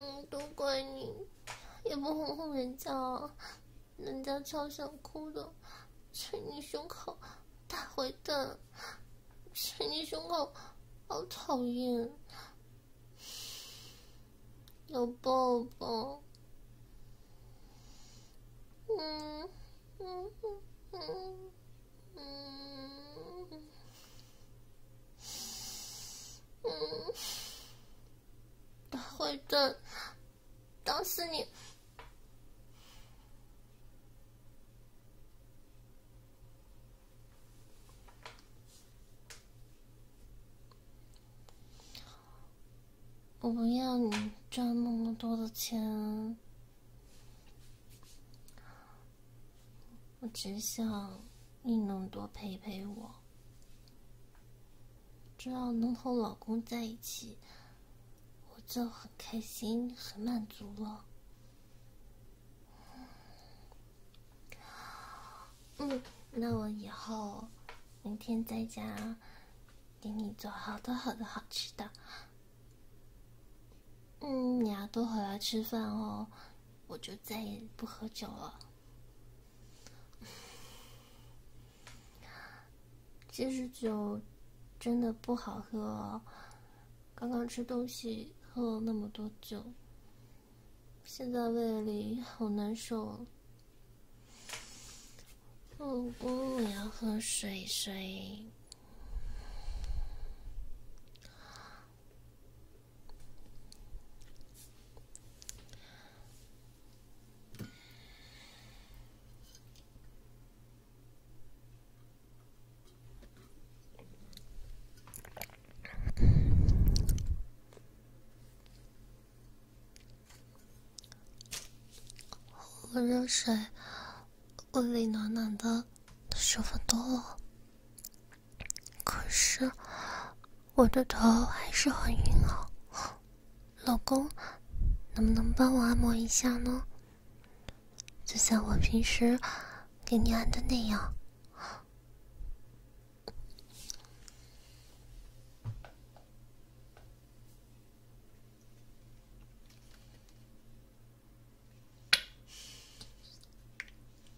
嗯，都怪你，也不哄哄人家，人家超想哭的，捶你胸口，大坏蛋，捶你胸口，好讨厌，要抱抱，嗯，嗯嗯嗯嗯。嗯，大坏蛋，打死你！我不要你赚那么多的钱，我只想你能多陪陪我。只要能和老公在一起，我就很开心、很满足了。嗯，那我以后明天在家给你做好多好多好吃的。嗯，你要多回来吃饭哦，我就再也不喝酒了。其实酒真的不好喝，刚刚吃东西喝了那么多酒，现在胃里好难受。老公，我要喝水水。喝热水，屋里暖暖的，舒服多了。可是我的头还是很晕啊，老公，能不能帮我按摩一下呢？就像我平时给你按的那样。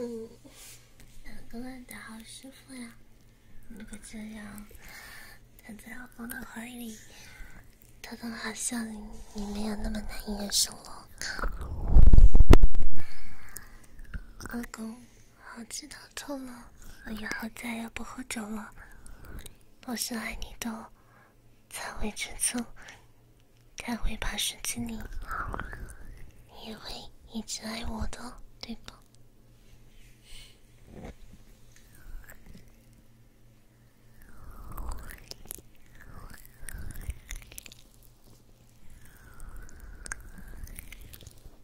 嗯，老个吻的好舒服呀！如果这样躺在老公的怀里，他都好像你没有那么难以忍受了。老公，好激动。错了，我以后再也不喝酒了。我是爱你的，才会吃醋，才会把事情弄你也会一直爱我的，对吧？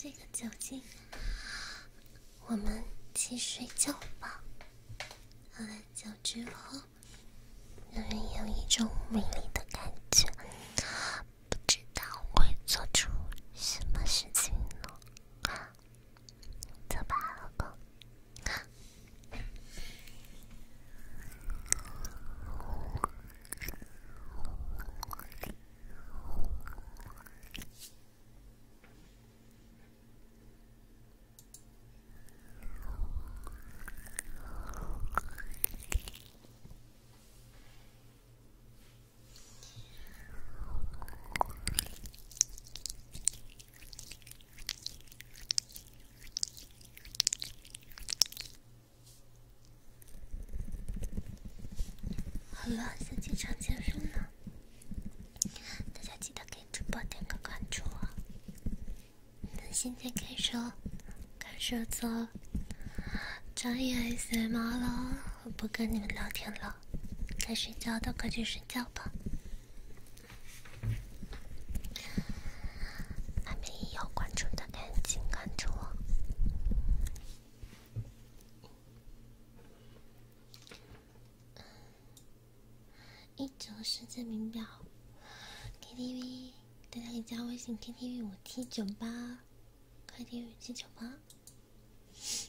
这个酒精，我们去睡觉吧。喝了，酒之后。让人有一种美丽的感觉，不知道会做出什么事情呢？走吧，老公。好了，先进场健身了。大家记得给主播点个关注哦。从今天开始，开始做专业小猫了。我不跟你们聊天了，该睡觉的快去睡觉吧。还没有关注的赶紧关注我。一九世界名表，KTV。大家可以加微信 KTV 五七九八，KTV 七九八。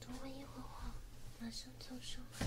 等我一会儿，我马上就上来。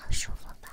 好舒服吧。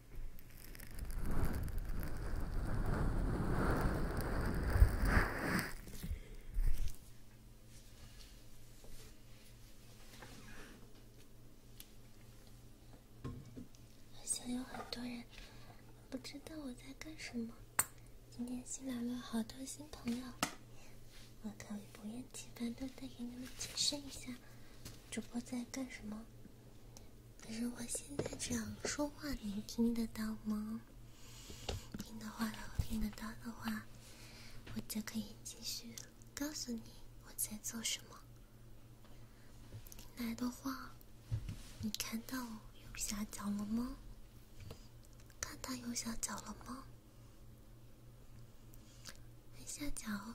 好像有很多人不知道我在干什么。今天新来了好多新朋友，我可以不厌其烦地再给你们解释一下，主播在干什么。可是我现在这样说话，你听得到吗？听的话的，听得到的话，我就可以继续告诉你我在做什么。听来的话，你看到右下角了吗？看到右下角了吗？右下角。